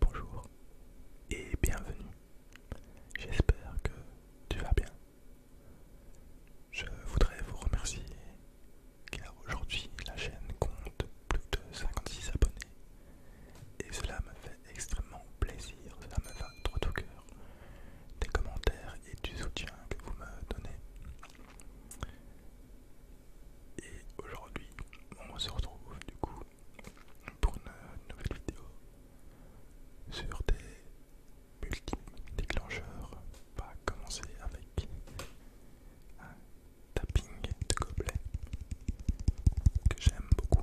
Bonjour et bienvenue. J'espère que tu vas bien. Je voudrais vous remercier car aujourd'hui la chaîne compte plus de 56 abonnés et cela me fait extrêmement plaisir, cela me va trop au cœur des commentaires et du soutien que vous me donnez. Et aujourd'hui, on se retrouve du coup pour euh, une nouvelle vidéo sur des multiples déclencheurs On va commencer avec un tapping de gobelet que j'aime beaucoup.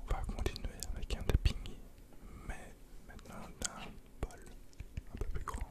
On va continuer avec un tapping, mais maintenant d'un bol un peu plus grand.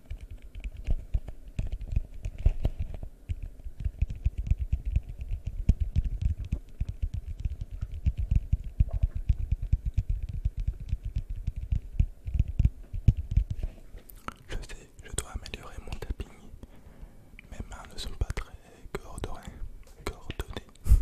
Je sais, je dois améliorer mon tapping. Mes mains ne sont pas très coordonnées. coordonnées.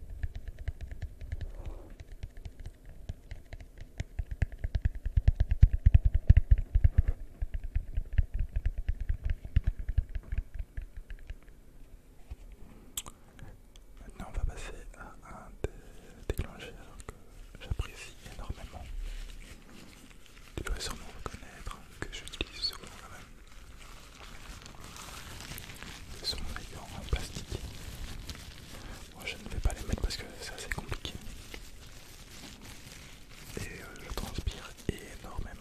Maintenant, on va passer à un des déclencheurs que j'apprécie énormément. Tu dois sûrement reconnaître que j'utilise souvent quand même sont en plastique. Moi je ne vais pas les mettre parce que c'est assez compliqué. Et euh, je transpire énormément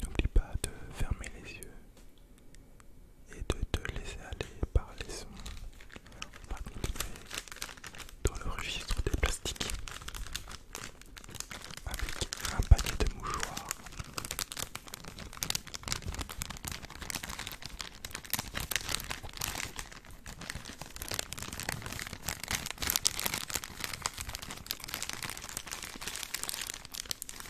N'oublie pas de fermer les yeux et de te laisser aller par les sons dans le registre des plastiques avec un paquet de mouchoirs.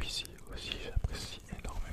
Celui-ci aussi j'apprécie énormément.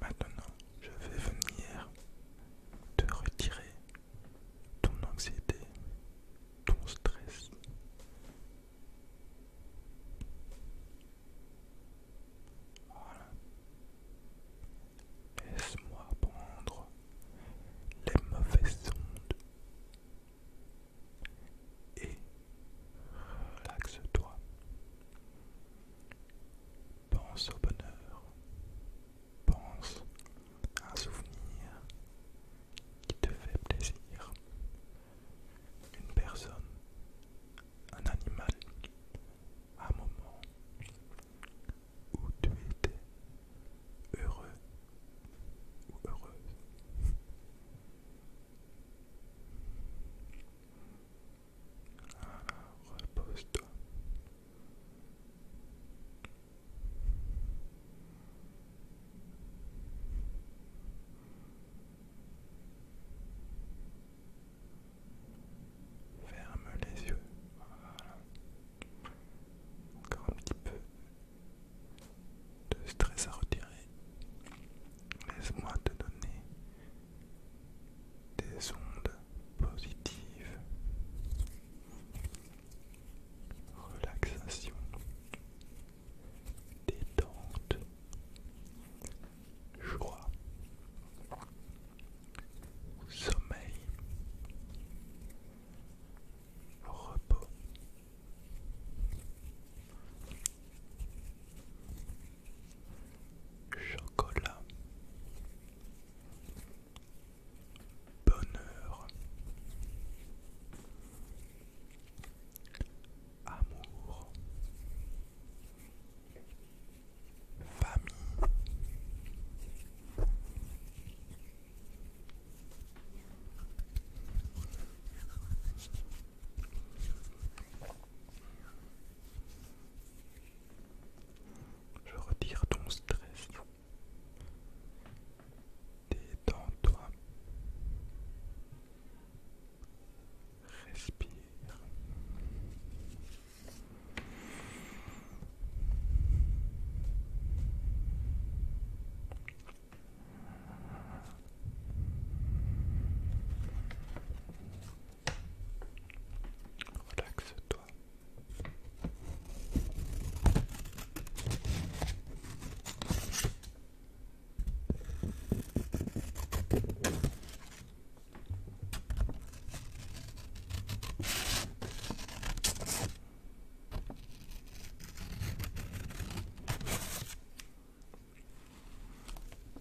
Maintenant, je vais venir de retirer ton anxiété, ton stress. Laisse-moi prendre les mauvaises ondes et relaxe-toi. Pense au bonheur. Pense à un souvenir qui te fait plaisir. Une personne, un animal, un moment où tu étais heureux ou heureuse repose-toi. Ferme les yeux. Encore un petit peu de stress à retirer. Laisse-moi te donner des ondes positives, relaxation, détente, joie, sommeil, repos. Chocolat. Bonheur. Amour. Famille. Je retire ton stress. Détends-toi. Respire. Relaxe-toi.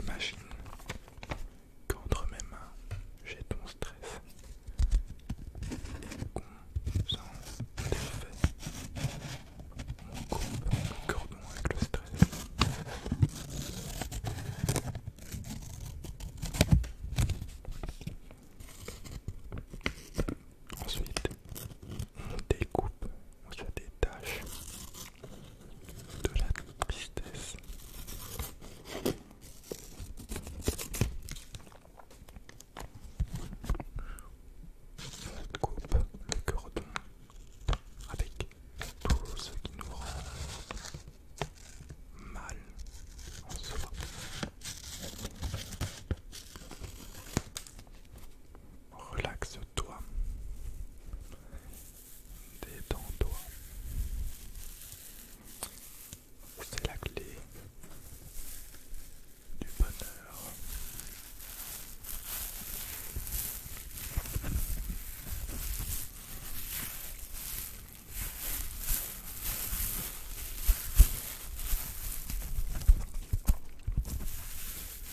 Imagine qu'entre mes mains j'ai ton stress et qu'on s'en défait. On coupe le cordon avec le stress. Ensuite, on découpe, on se détache de la tristesse. On coupe le cordon avec tout ce qui nous rend mal en soi. Relaxe-toi Détends-toi. C'est la clé du bonheur.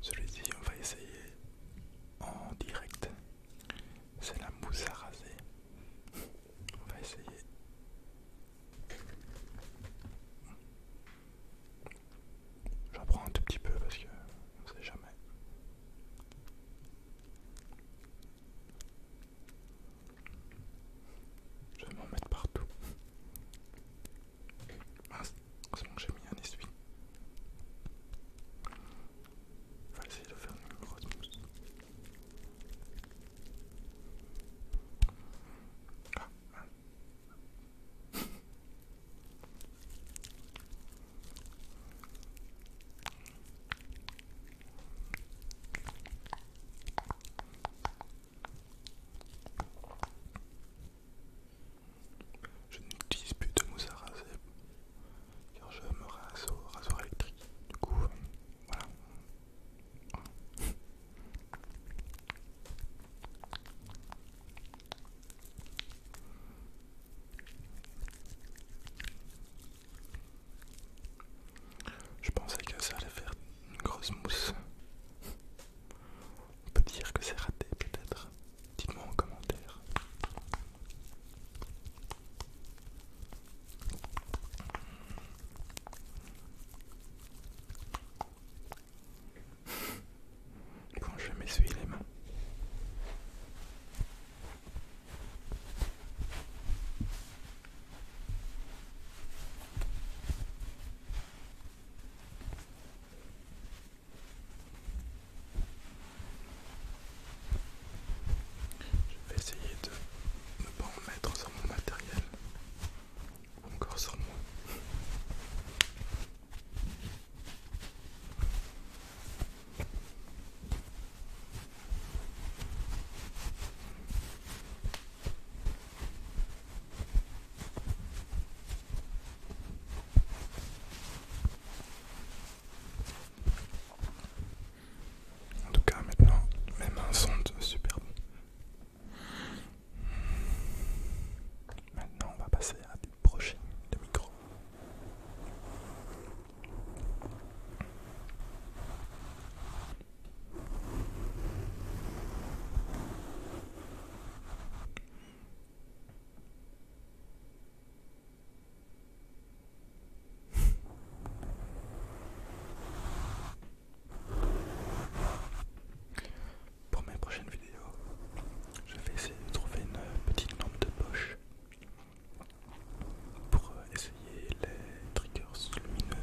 Celui-ci, on va essayer en direct. C'est la mousse à raser. On va essayer. J'apprends un tout petit peu parce que on sait jamais. Je vais m'en mettre partout. c'est bon que j'ai mis un essuie. On va essayer de faire une grosse mousse. Ah, je n'utilise plus de mousse à raser car je me rase au rasoir électrique. Du coup, euh, voilà. Je pensais que ça allait faire une grosse mousse. On peut dire que c'est raté peut-être. Dites-moi en commentaire. Quand je m'essuie les mains. Je vais essayer de ne pas en mettre sur mon matériel encore sur moi. En tout cas, maintenant, mes mains sont bon. Maintenant, on va passer à des brushing de micro pour mes prochaines vidéos, je vais essayer de trouver une petite lampe de poche pour euh, essayer les triggers lumineux.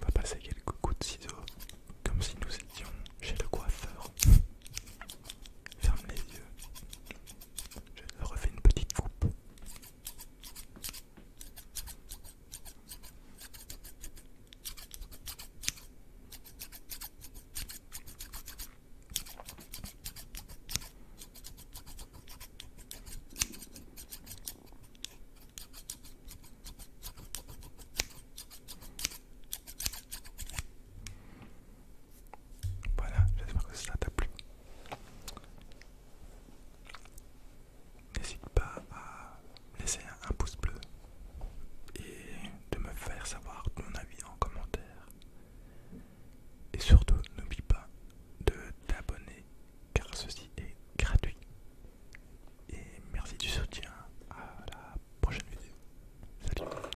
On va passer quelques coups de ciseaux comme si nous étions chez le coiffeur. Ferme les yeux je refais une petite coupe. Voilà, j'espère que ça t'a plu. N'hésite pas à laisser un, pouce bleu et de me faire savoir ton avis en commentaire. Et surtout, n'oublie pas de t'abonner car ceci est gratuit. Et merci du soutien à la prochaine vidéo. Salut